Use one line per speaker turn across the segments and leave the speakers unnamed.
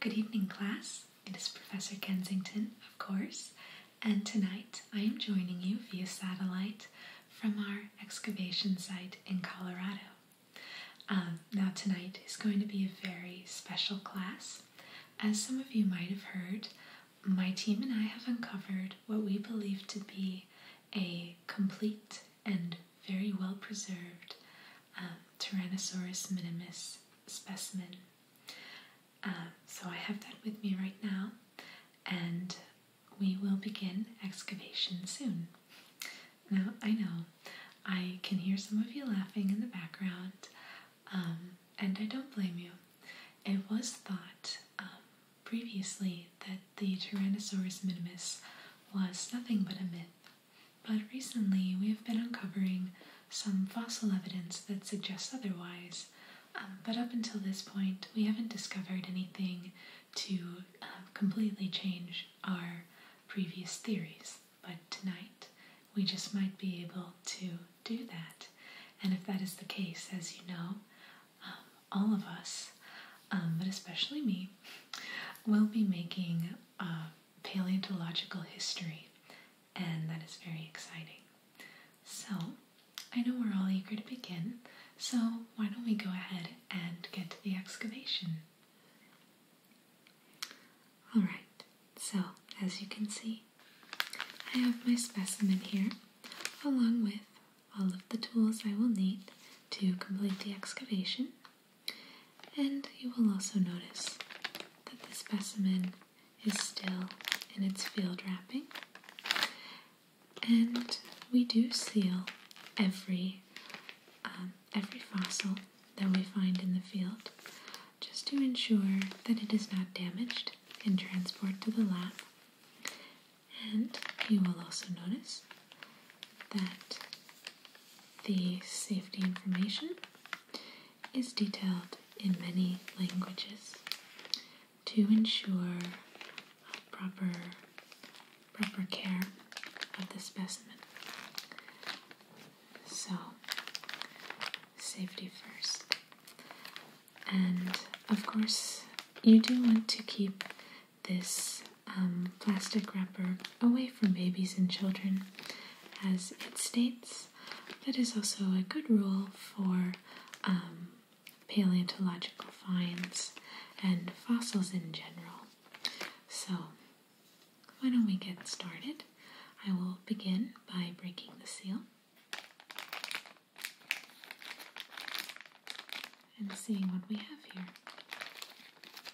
Good evening, class. It is Professor Kensington, of course, and tonight I am joining you via satellite from our excavation site in Colorado. Um, now, tonight is going to be a very special class. As some of you might have heard, my team and I have uncovered what we believe to be a complete and very well preserved um, Tyrannosaurus minimus specimen. Um, so I have that with me right now, and we will begin excavation soon. Now, I know I can hear some of you laughing in the background, um, and I don't blame you. It was thought previously that the Tyrannosaurus minimus was nothing but a myth, but recently we have been uncovering some fossil evidence that suggests otherwise. Um, but up until this point, we haven't discovered anything to um, completely change our previous theories. But tonight, we just might be able to do that. And if that is the case, as you know, um, all of us, but especially me, we will be making paleontological history, and that is very exciting. So, I know we're all eager to begin, so why don't we go ahead and get to the excavation? Alright, so as you can see, I have my specimen here along with all of the tools I will need to complete the excavation. And you will also notice that the specimen is still in its field wrapping. And we do seal every um, every fossil that we find in the field, just to ensure that it is not damaged in transport to the lab. And you will also notice that the safety information is detailed in many languages to ensure proper proper care of the specimen. So safety first. And of course you do want to keep this um, plastic wrapper away from babies and children, as it states. That is also a good rule for um, paleontological finds and fossils in general. So, why don't we get started? I will begin by breaking the seal and seeing what we have here.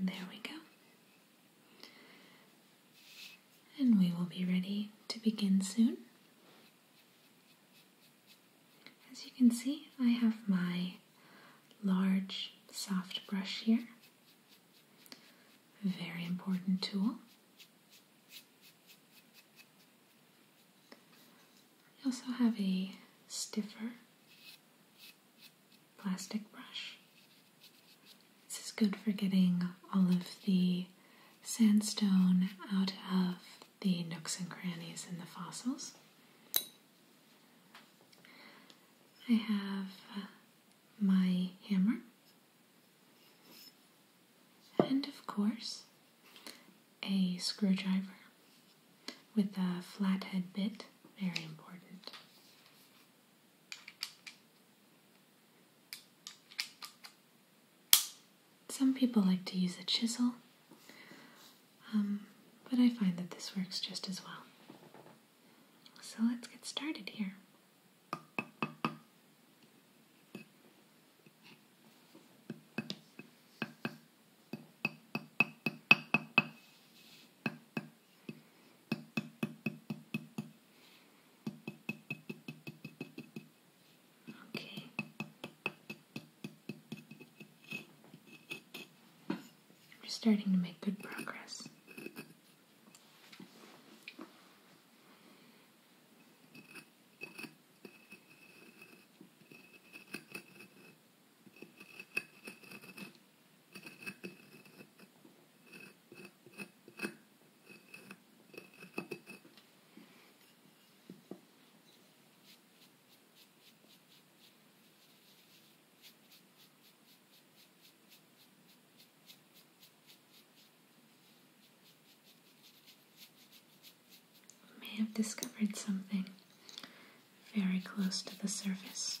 There we go. And we will be ready to begin soon. As you can see, I have my large soft brush here. A very important tool. I also have a stiffer plastic brush. This is good for getting all of the sandstone out of the nooks and crannies in the fossils. I have uh, my hammer, and of course, a screwdriver with a flathead bit, very important. Some people like to use a chisel, um, but I find that this works just as well. So let's get started here. Okay. We're starting to make good progress may have discovered something very close to the surface.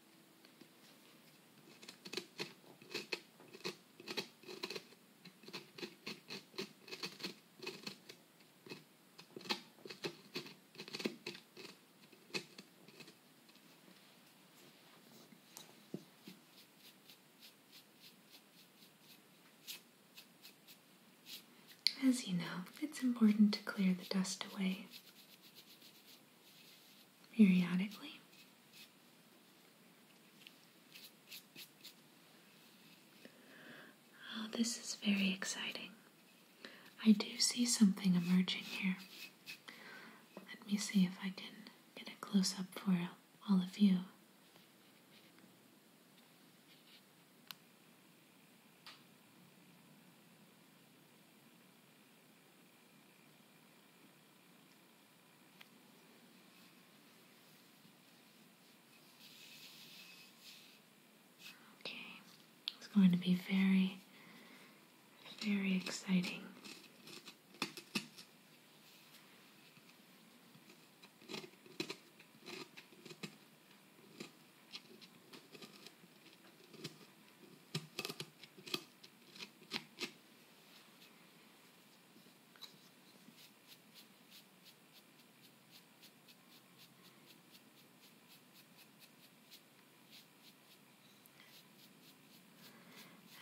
As you know, it's important to clear the dust away periodically. Oh, this is very exciting. I do see something emerging here. Let me see if I can get a close up for all of you. Okay, it's going to be very, very exciting.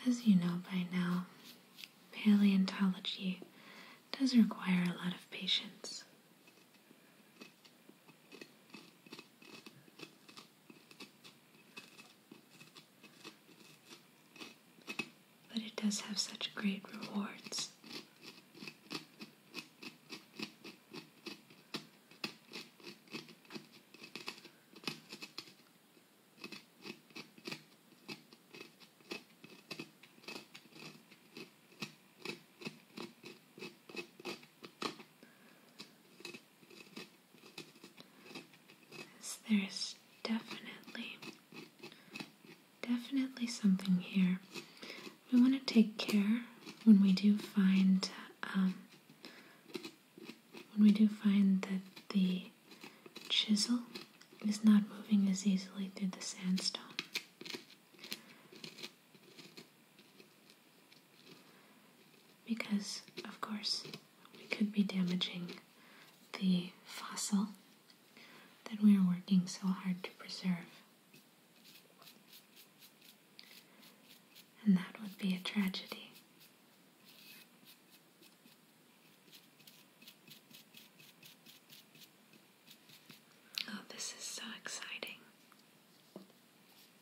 As you know by now, paleontology does require a lot of patience. But it does have such great rewards there's definitely, definitely something here. We want to take care when we do find, um, when we do find that the chisel is not moving as easily through the sandstone. Because, of course, we could be damaging the fossil that we are working so hard to preserve. And that would be a tragedy. Oh, this is so exciting.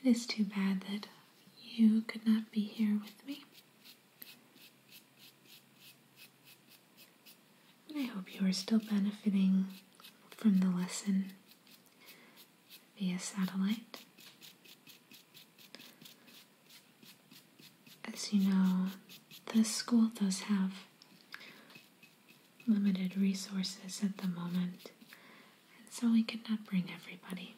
It is too bad that you could not be here with me. I hope you are still benefiting from the lesson via satellite. As you know, the school does have limited resources at the moment, and so we could not bring everybody.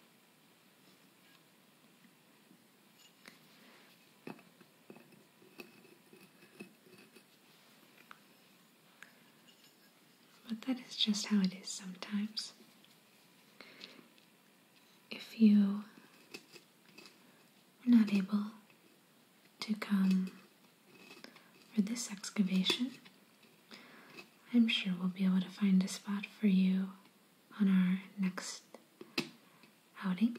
But that is just how it is sometimes. If you are not able to come for this excavation. I'm sure we'll be able to find a spot for you on our next outing.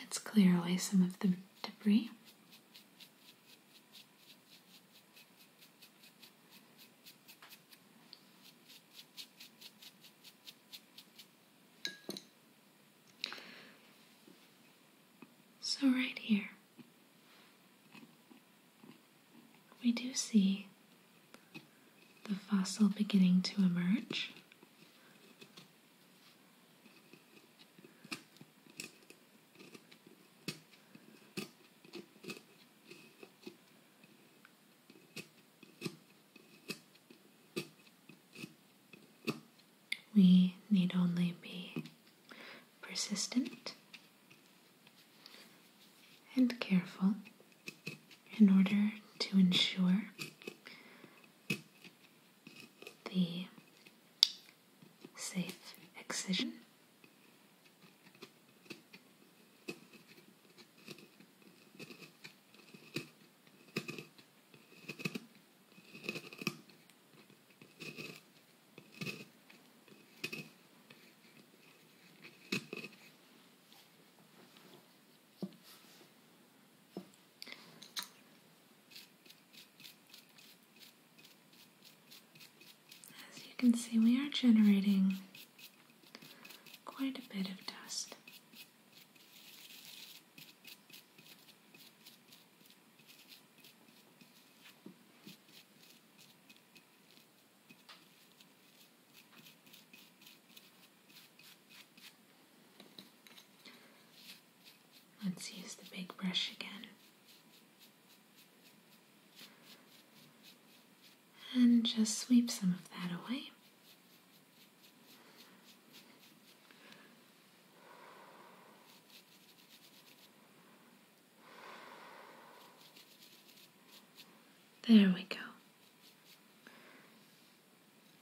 Let's clear away some of the debris. So, right here, we do see the fossil beginning to emerge. We need only be persistent and careful in order to ensure the safe excision. As you can see, we are generating quite a bit of dust. Let's use the big brush again. And just sweep some of that away. There we go.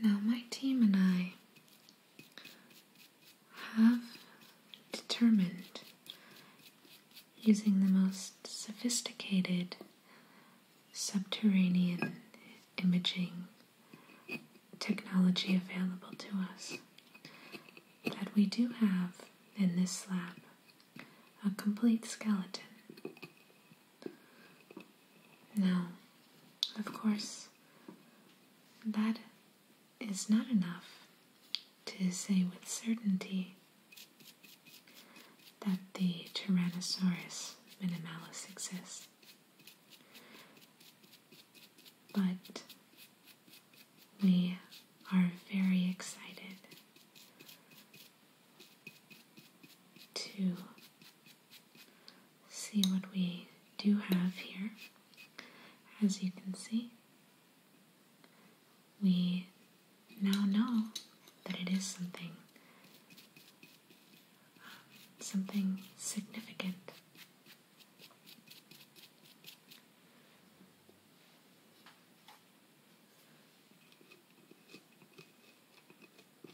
Now, my team and I have determined using the most sophisticated subterranean imaging technology available to us that we do have in this slab a complete skeleton now, of course, that is not enough to say with certainty that the Tyrannosaurus minimalis exists. But we are very excited to see what we do have here. As you can see, we now know that it is something something significant.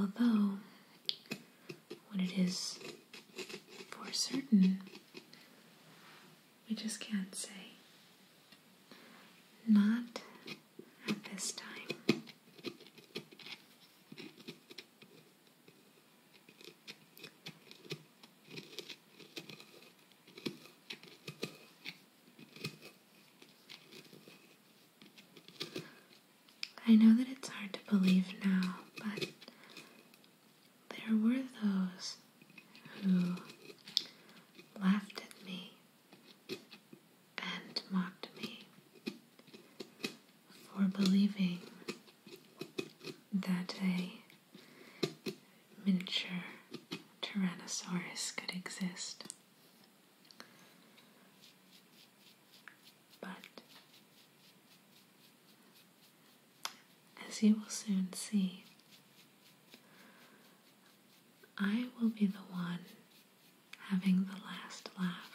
Although, what it is for certain, we just can't say. Not at this time. I know that it's hard to believe now, but there were those who laughed at me and mocked me for believing that a miniature Tyrannosaurus could exist. But as you will soon see, I will be the one having the last laugh.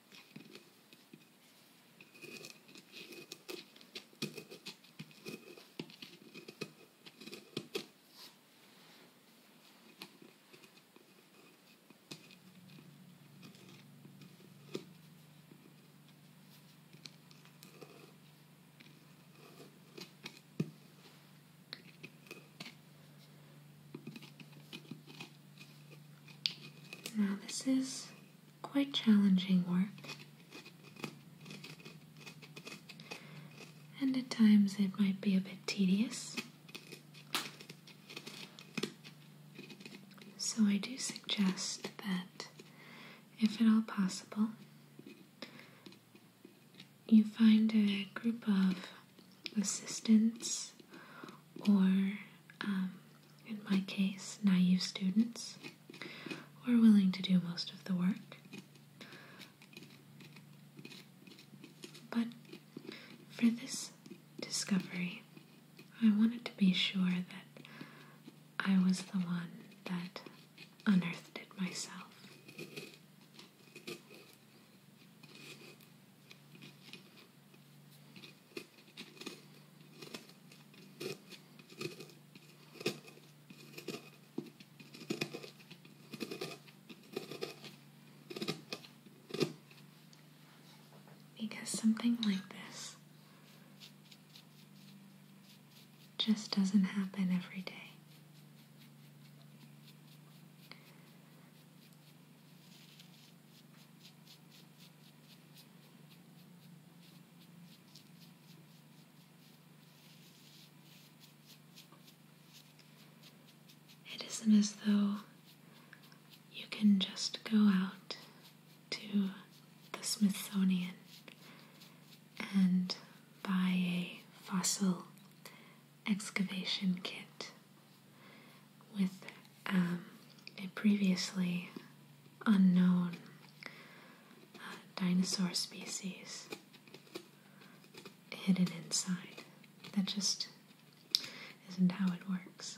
Now, this is quite challenging work. And at times it might be a bit tedious. So I do suggest that, if at all possible, you find a group of assistants or, um, in my case, naive students who are willing to do most of the work. But for this discovery, I wanted to be sure that I was the one that unearthed it myself. Because something like this just doesn't happen every day. It isn't as though you can just go out to the Smithsonian and buy a fossil excavation kit with um, a previously unknown uh, dinosaur species hidden inside. That just isn't how it works.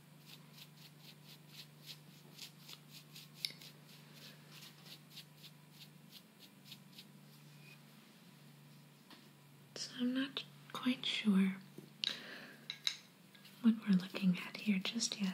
So I'm not quite sure what we're looking at here just yet.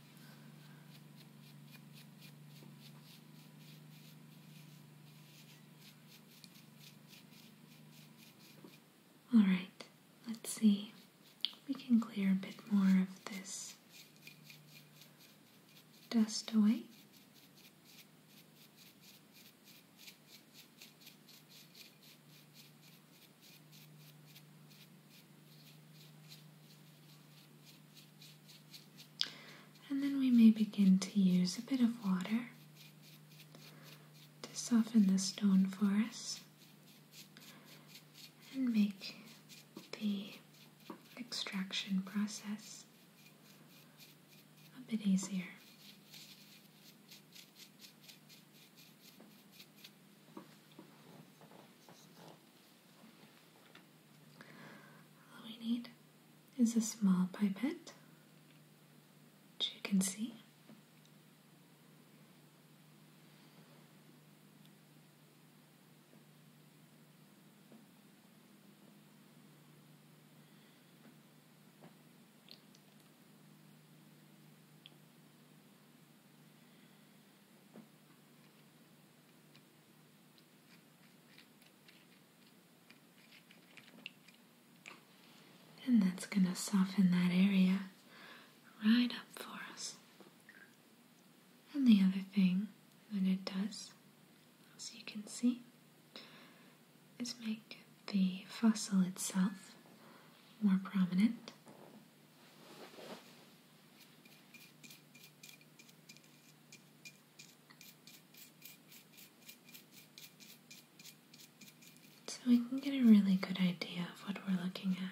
All right, let's see. We can clear a bit more of this dust away. And then we may begin to use a bit of water to soften the stone for us and make the extraction process a bit easier. All we need is a small pipette, which you can see. And that's going to soften that area right up for us. And the other thing that it does, as you can see, is make the fossil itself more prominent so we can get a really good idea of what we're looking at.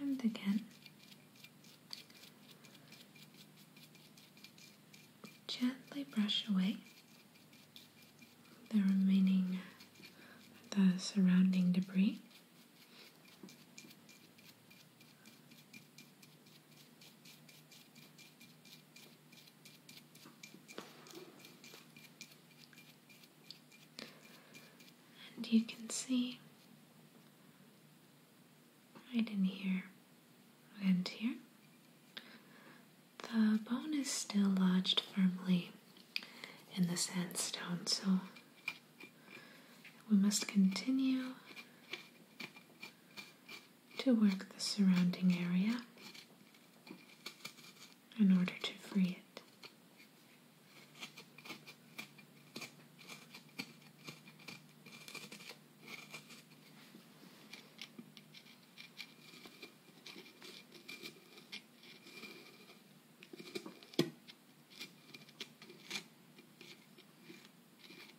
And again, gently brush away the remaining, the surrounding debris. And you can see right in here and here the bone is still lodged firmly in the sandstone, so we must continue to work the surrounding area in order to free it.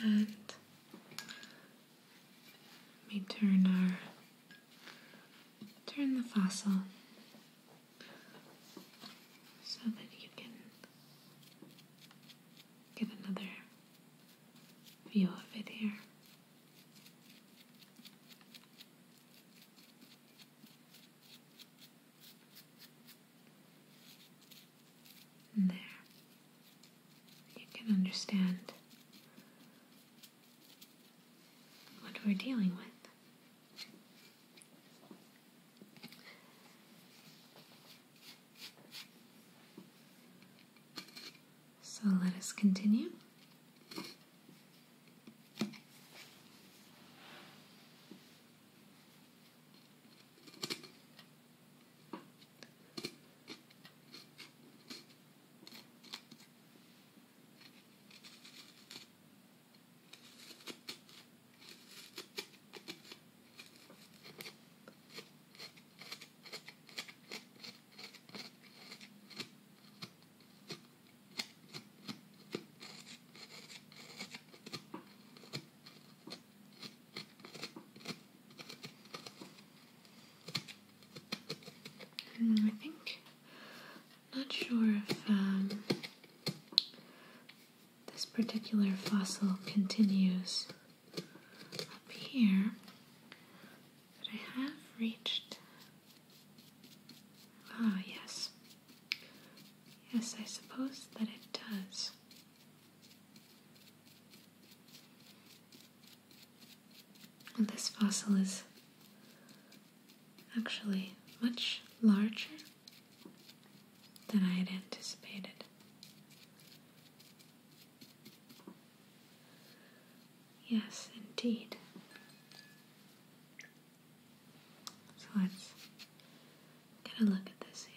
let me turn our turn the fossil so that you can get another view of it here. there. You can understand what we're dealing with. So let us continue. I think, not sure if um, this particular fossil continues up here, but I have reached. Ah, yes. Yes, I suppose that it does. this fossil is actually much larger than I had anticipated. Yes, indeed. So let's get a look at this here.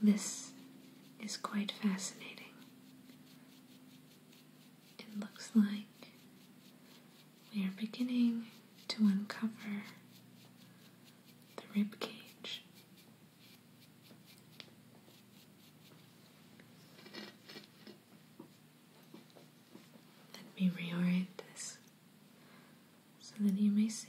This is quite fascinating. It looks like we are beginning to uncover the rib cage. Let me reorient this so that you may see.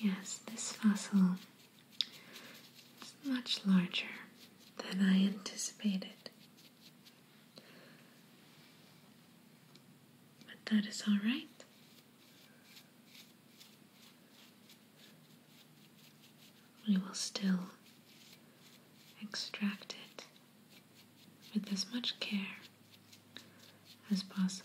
Yes, this fossil is much larger than I anticipated. But that is all right. We will still extract it with as much care as possible.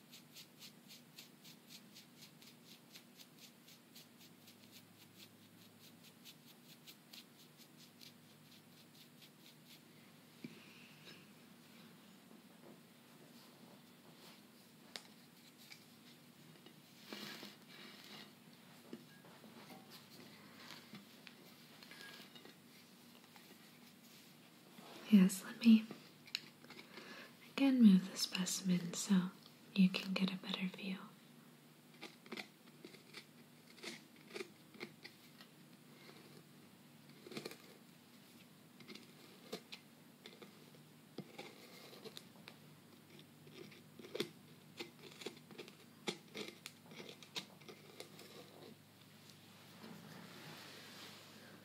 Yes, let me Again, move the specimen so you can get a better view.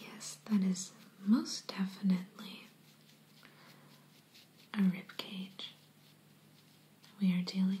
Yes, that is most definitely a rib cage we are dealing with.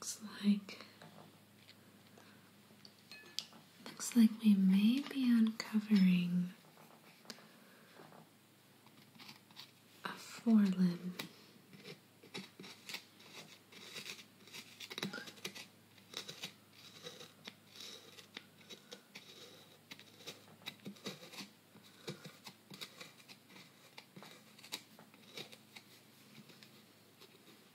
Looks like Looks like we may be uncovering a forelimb.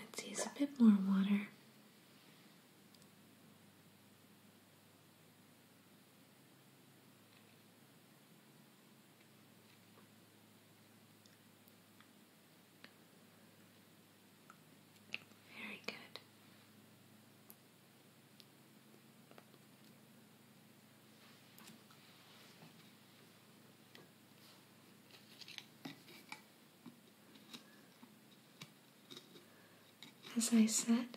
Let's use a bit more water. Very good. As I said,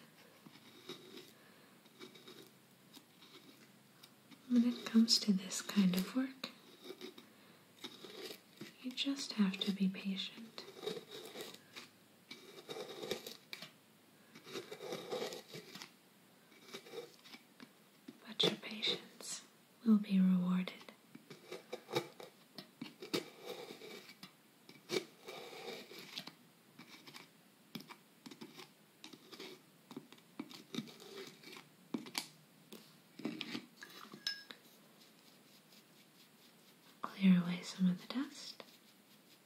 when it comes to this kind of work, you just have to be patient. But your patience will be rewarded. Clear away some of the dust.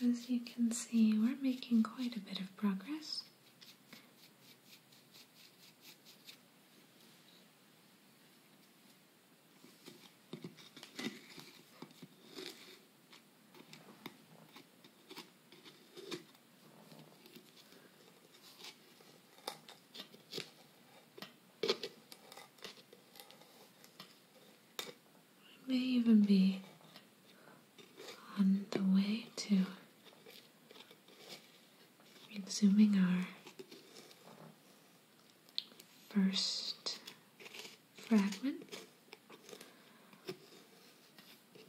As you can see, we're making quite a bit of progress. We may even be on the way to resuming our first fragment.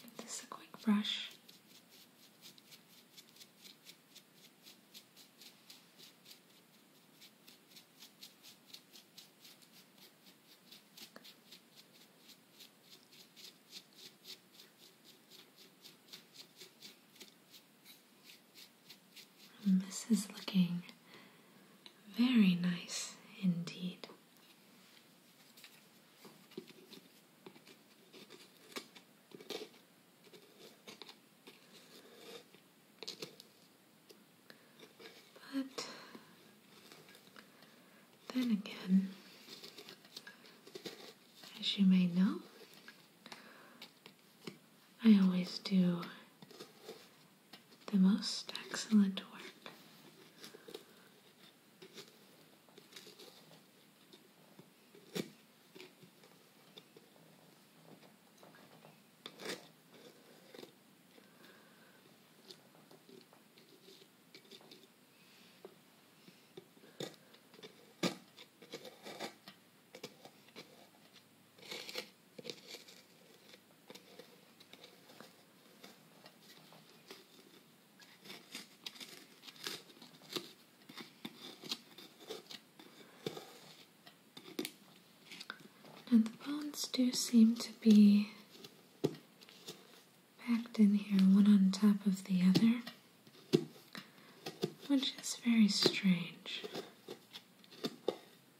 Give this a quick brush. this is looking very nice indeed. But then again, as you may know, I always do the most excellent work. And the bones do seem to be packed in here, one on top of the other, which is very strange.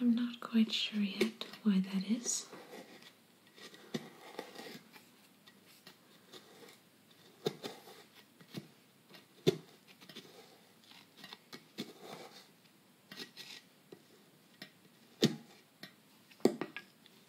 I'm not quite sure yet why that is.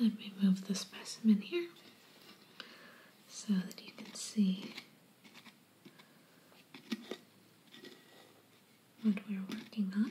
Let me move the specimen here so that you can see what we're working on.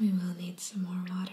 We will need some more water.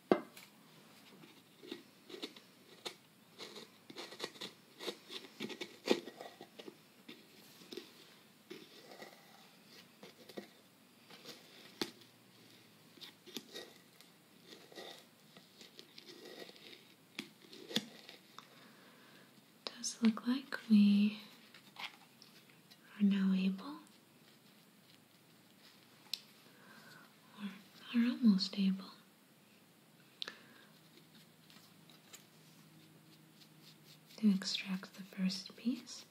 Does look like we are now able or are almost able to extract the first piece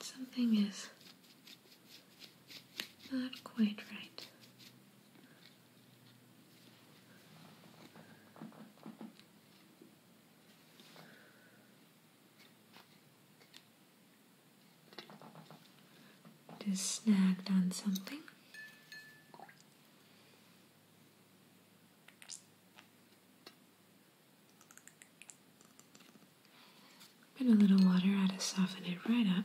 something is not quite right. Just snagged on something. Put a little water out to soften it right up.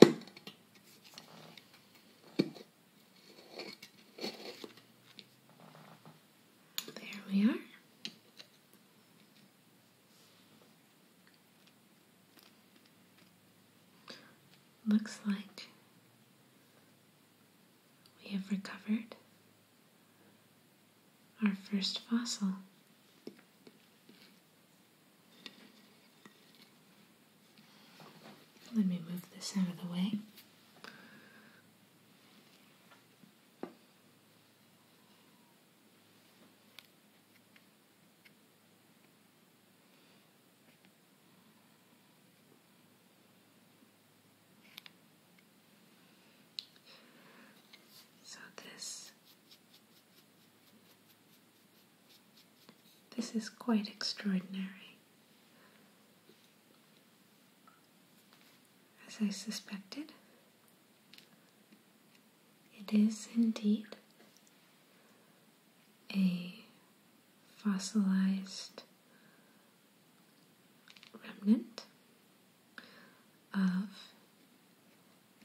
There we are. Looks like we have recovered our first fossil. Let me move this out of the way. So, this this is quite extraordinary. As I suspected, it is indeed a fossilized remnant of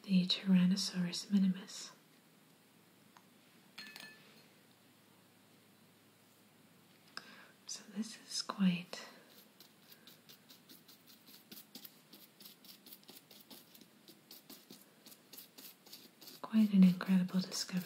the Tyrannosaurus minimus. So this is quite quite an incredible discovery.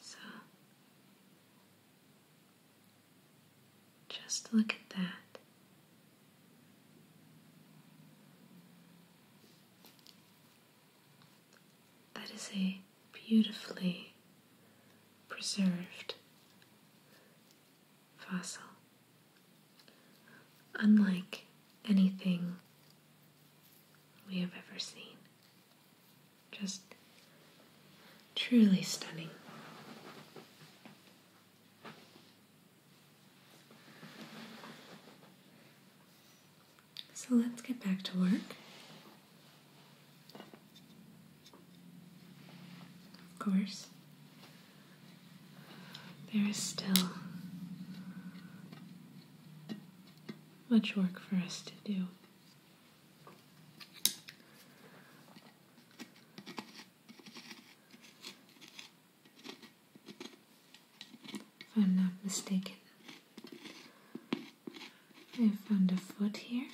So just look at that. That is a beautifully preserved fossil, unlike anything we have ever seen. Just truly stunning. So let's get back to work. Of course, there is still much work for us to do. If I'm not mistaken, I found a foot here.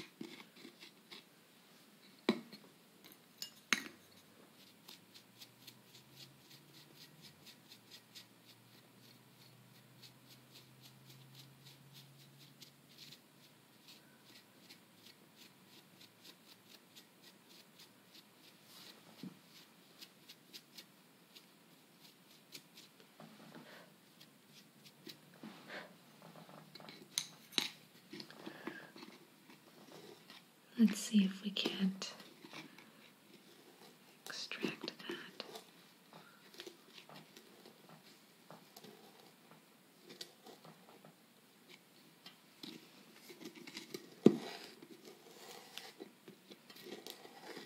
Let's see if we can't extract that.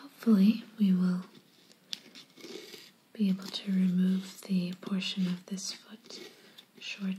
Hopefully, we will be able to remove the portion of this foot shortly.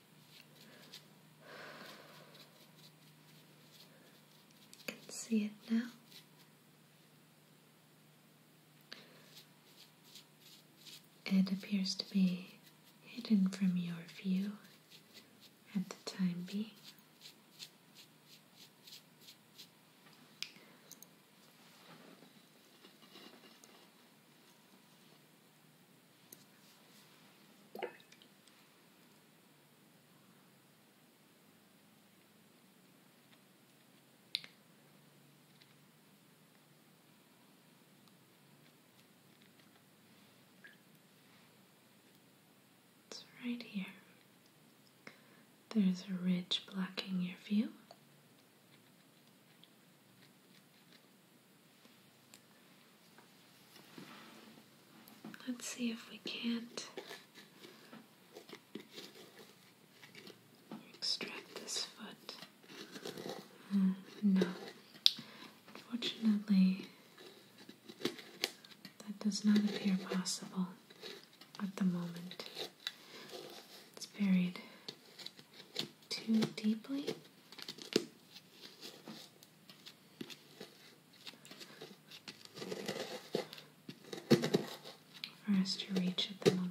I can see it now. It appears to be hidden from your view at the time being. It's right here. There's a ridge blocking your view. Let's see if we can't extract this foot. Hmm, no. Unfortunately, that does not appear possible at the moment. It's buried too deeply. For us to reach at the moment.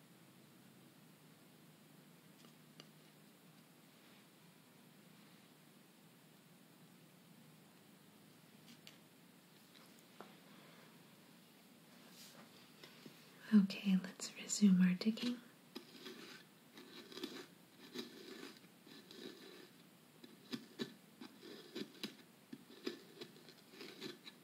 Okay, let's resume our digging.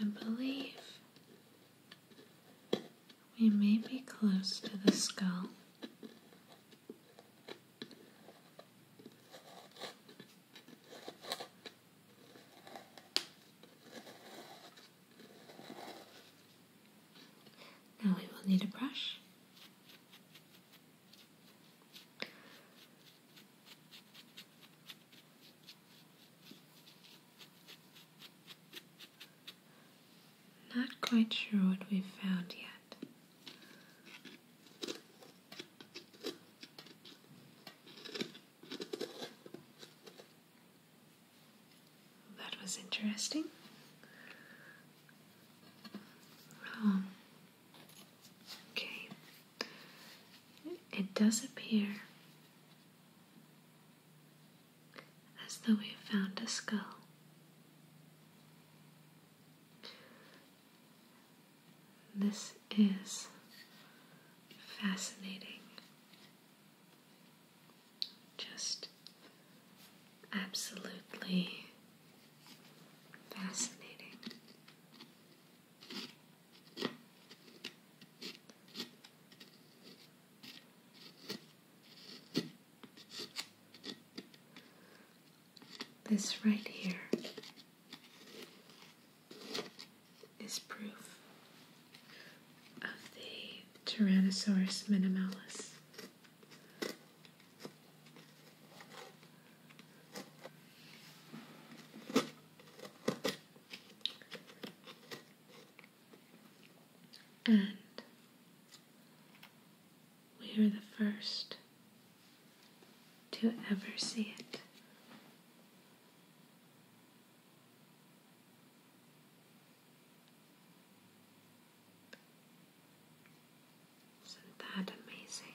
I believe we may be close to the skull. Now we will need a brush. Not quite sure what we've found yet. That was interesting. Um, okay. It does appear as though we have found a skull. This is fascinating. Just absolutely fascinating. This right here is proof of the Tyrannosaurus minimalis. And we are the first to ever see it. Isn't that amazing?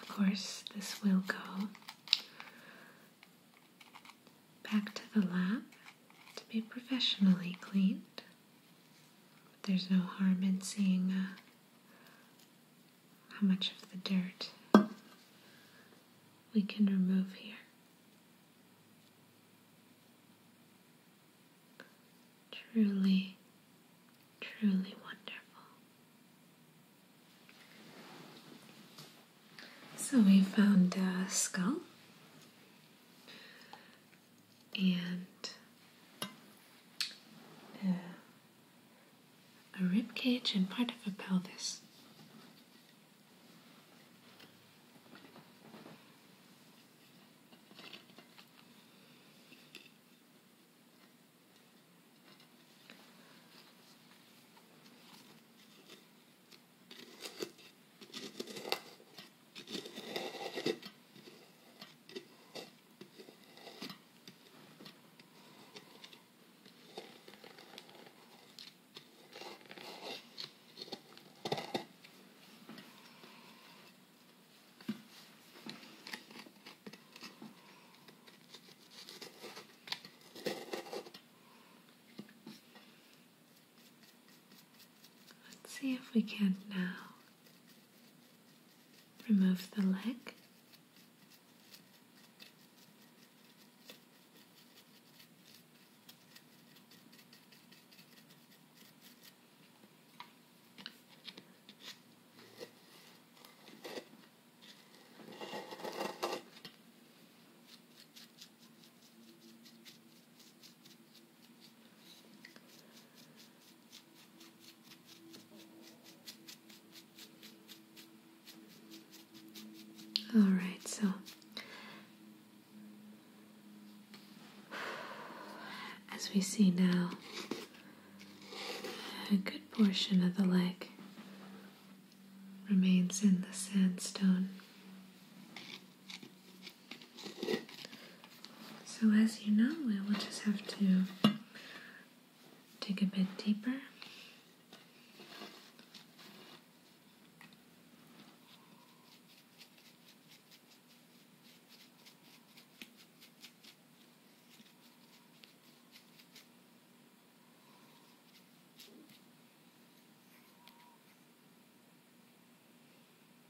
Of course, this will go back to the lab to be professionally cleaned there's no harm in seeing uh, how much of the dirt we can remove here. Truly, truly wonderful. So we found a skull and uh, a rib cage and part of a pelvis. Let's see if we can now Remove the leg. All right, so as we see now, a good portion of the leg remains in the sandstone. So, as you know, we will just have to dig a bit deeper.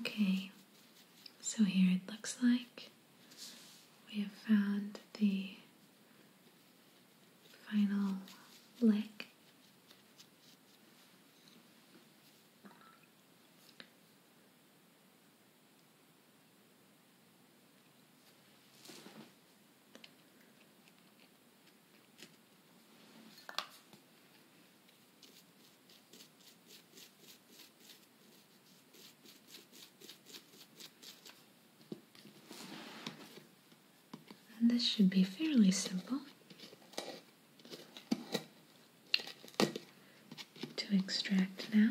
Okay, so here it looks like we have found the final leg this should be fairly simple to extract now.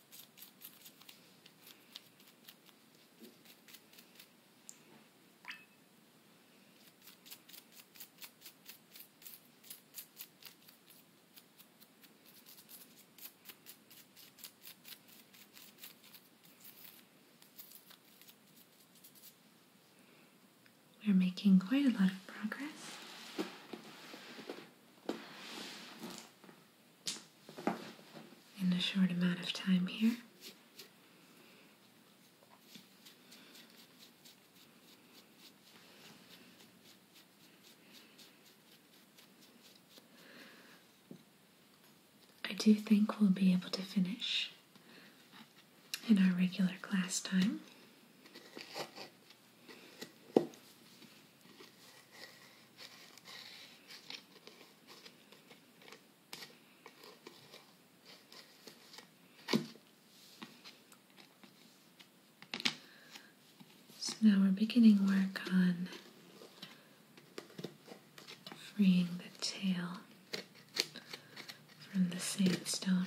We're making quite a lot of progress in a short amount of time here. I do think we'll be able to finish in our regular class time. So now we're beginning work on freeing the tail from the sandstone.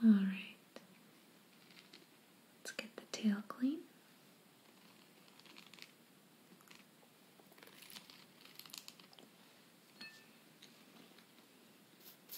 All right, let's get the tail clean.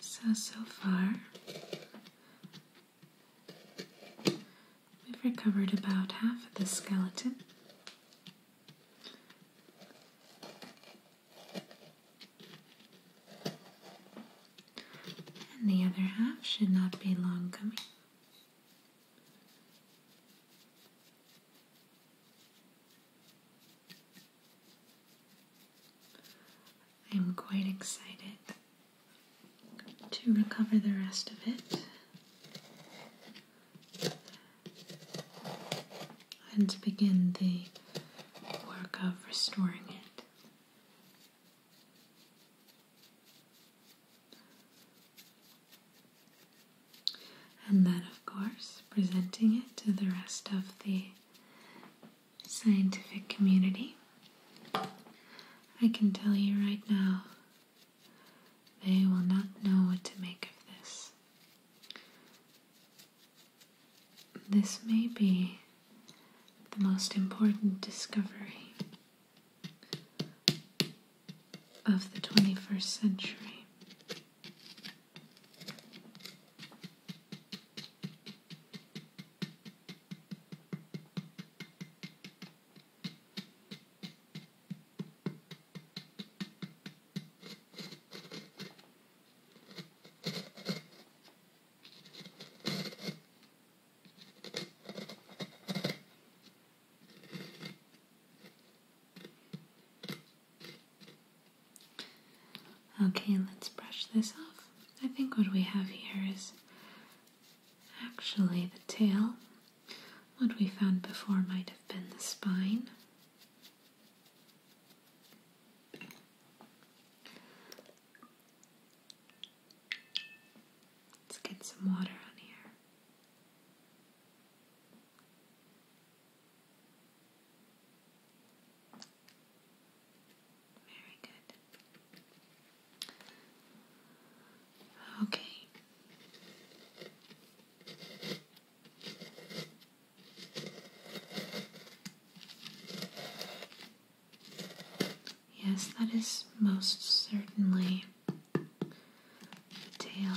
So, so far, we've recovered about half of the skeleton. And the other half should not be long coming. I am quite excited to recover the rest of it and begin the work of restoring it. And then, of course, presenting it to the rest of the scientific community. I can tell you right now, they will not know what to make of this. This may be the most important discovery of the 21st century. Okay, let's brush this off. I think what we have here is actually the tail. What we found before might have been the spine. Let's get some water on here. Very good. Okay. Yes, that is most certainly the tail.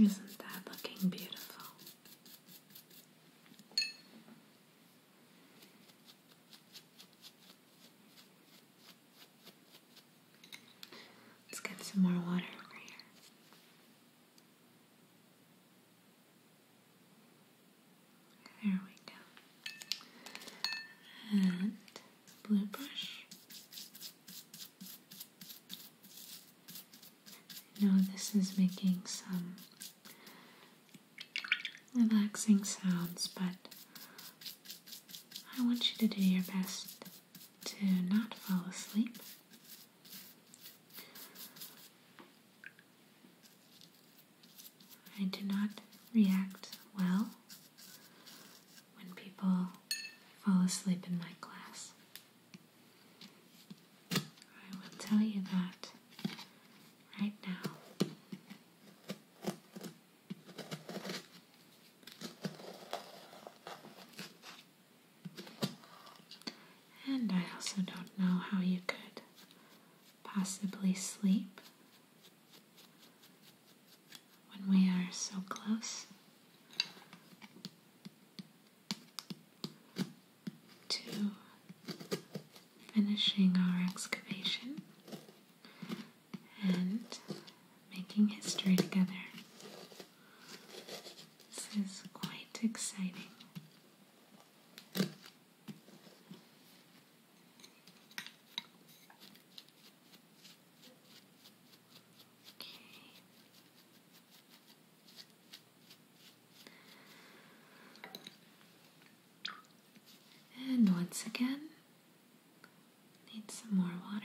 Isn't that looking beautiful? Let's get some more water over here. There we go. And blue brush. I know this is making some relaxing sounds, but I want you to do your best to not fall asleep. I do not react well when people fall asleep in my class. I will tell you that right now. And I also don't know how you could possibly sleep when we are so close to finishing our excavation and making history together. This is quite exciting. And once again, need some more water.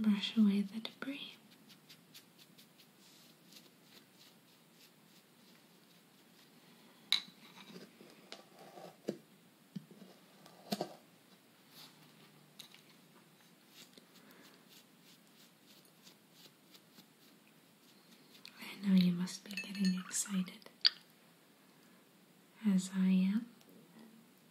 Brush away the debris. I know you must be getting excited, as I am.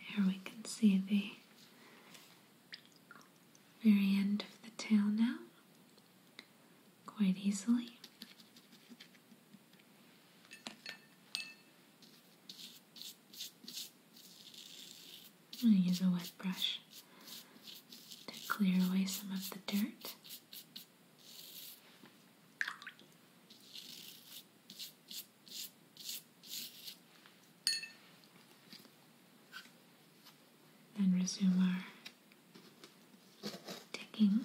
Here we can see the very end of the tail now, quite easily. I'm going to use a wet brush to clear away some of the dirt and resume our digging.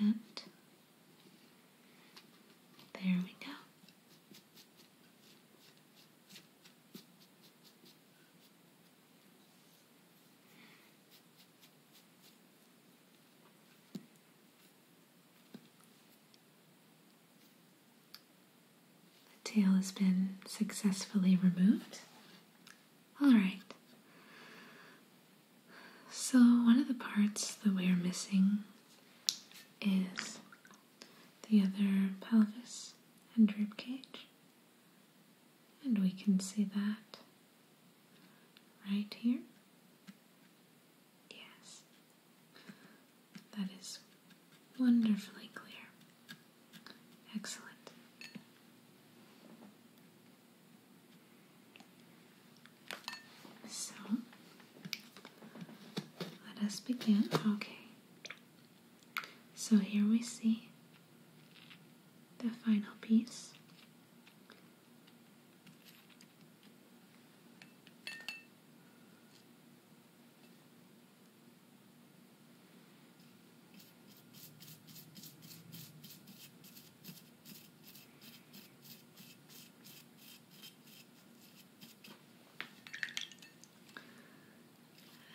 And there we go. The tail has been successfully removed. All right. So, one of the parts that we are missing is the other pelvis and rib cage. And we can see that right here. Yes, that is wonderfully clear. Excellent. So let us begin. Okay, so here we see the final piece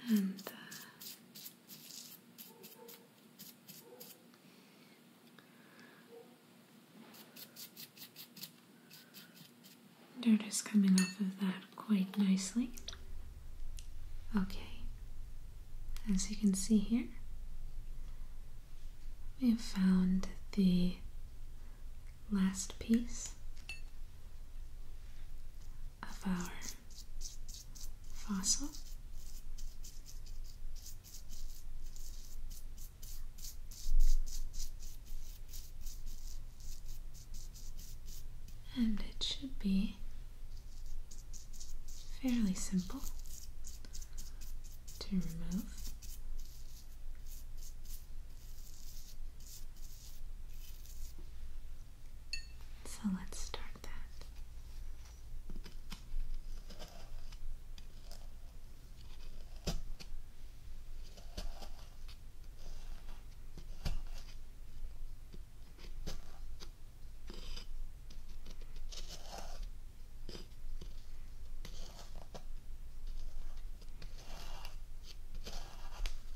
and uh, coming off of that quite nicely. Okay, as you can see here, we have found the last piece of our fossil. And it should be fairly simple to remove. So let's start that.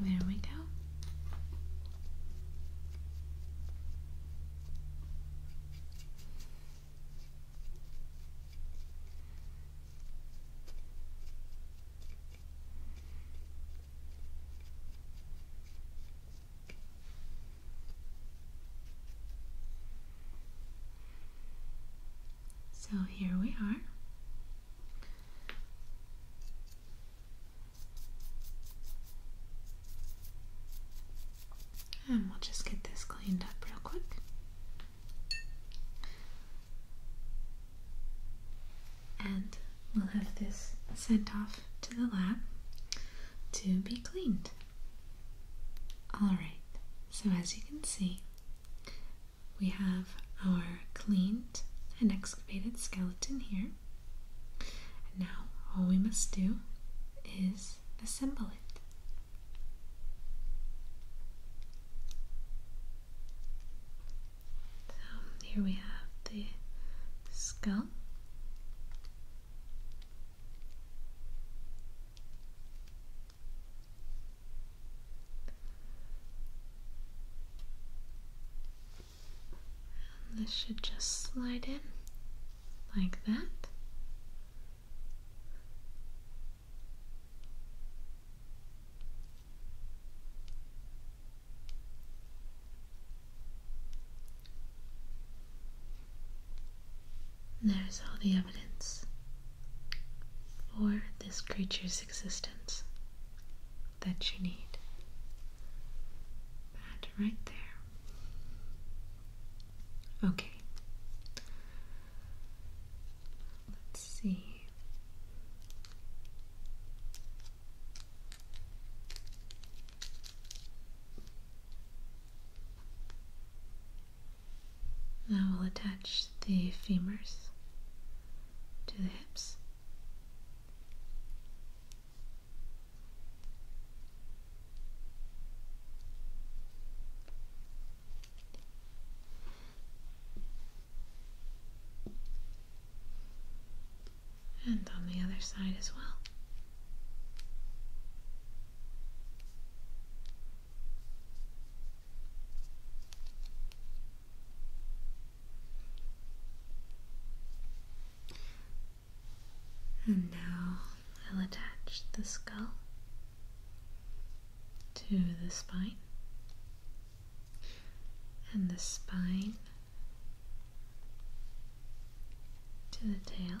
There we go. So here we are. And we'll just get this cleaned up real quick. And we'll have this sent off to the lab to be cleaned. Alright, so as you can see, we have our cleaned and excavated skeleton here now all we must do is assemble it. So here we have the skull this should just slide in like that. There's all the evidence for this creature's existence that you need. That right there. Okay. Let's see. Now we'll attach the femurs to the hips. And on the other side as well. And now I'll attach the skull to the spine, and the spine to the tail.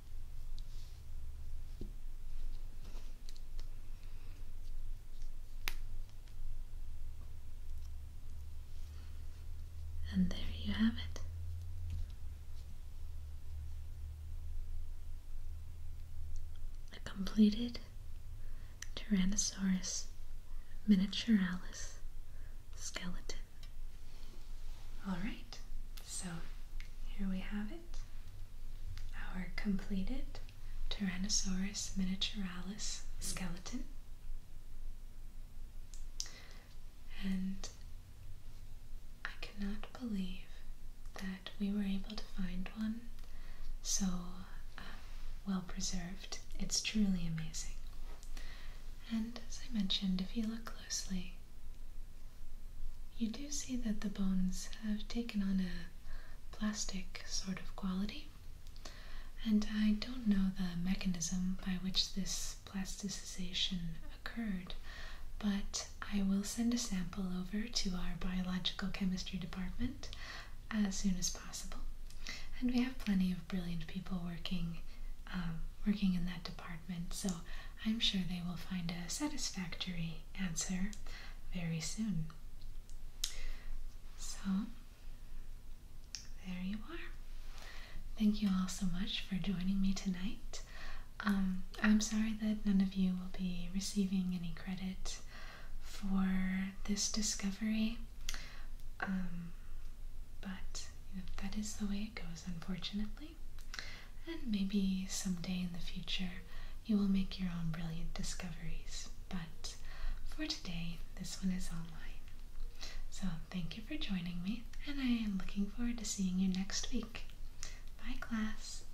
And there you have it. A completed Tyrannosaurus miniaturalis skeleton. All right, so here we have it our completed Tyrannosaurus miniaturalis skeleton. And I cannot believe that we were able to find one so uh, well preserved. It's truly amazing. And as I mentioned, if you look closely, you do see that the bones have taken on a plastic sort of quality, and I don't know the mechanism by which this plasticization occurred, but I will send a sample over to our biological chemistry department as soon as possible. And we have plenty of brilliant people working um, working in that department so I'm sure they will find a satisfactory answer very soon. So, there you are. Thank you all so much for joining me tonight. Um, I'm sorry that none of you will be receiving any credit for this discovery, um, but that is the way it goes, unfortunately. And maybe someday in the future you will make your own brilliant discoveries. But for today, this one is online. So thank you for joining me, and I am looking forward to seeing you next week. Bye, class.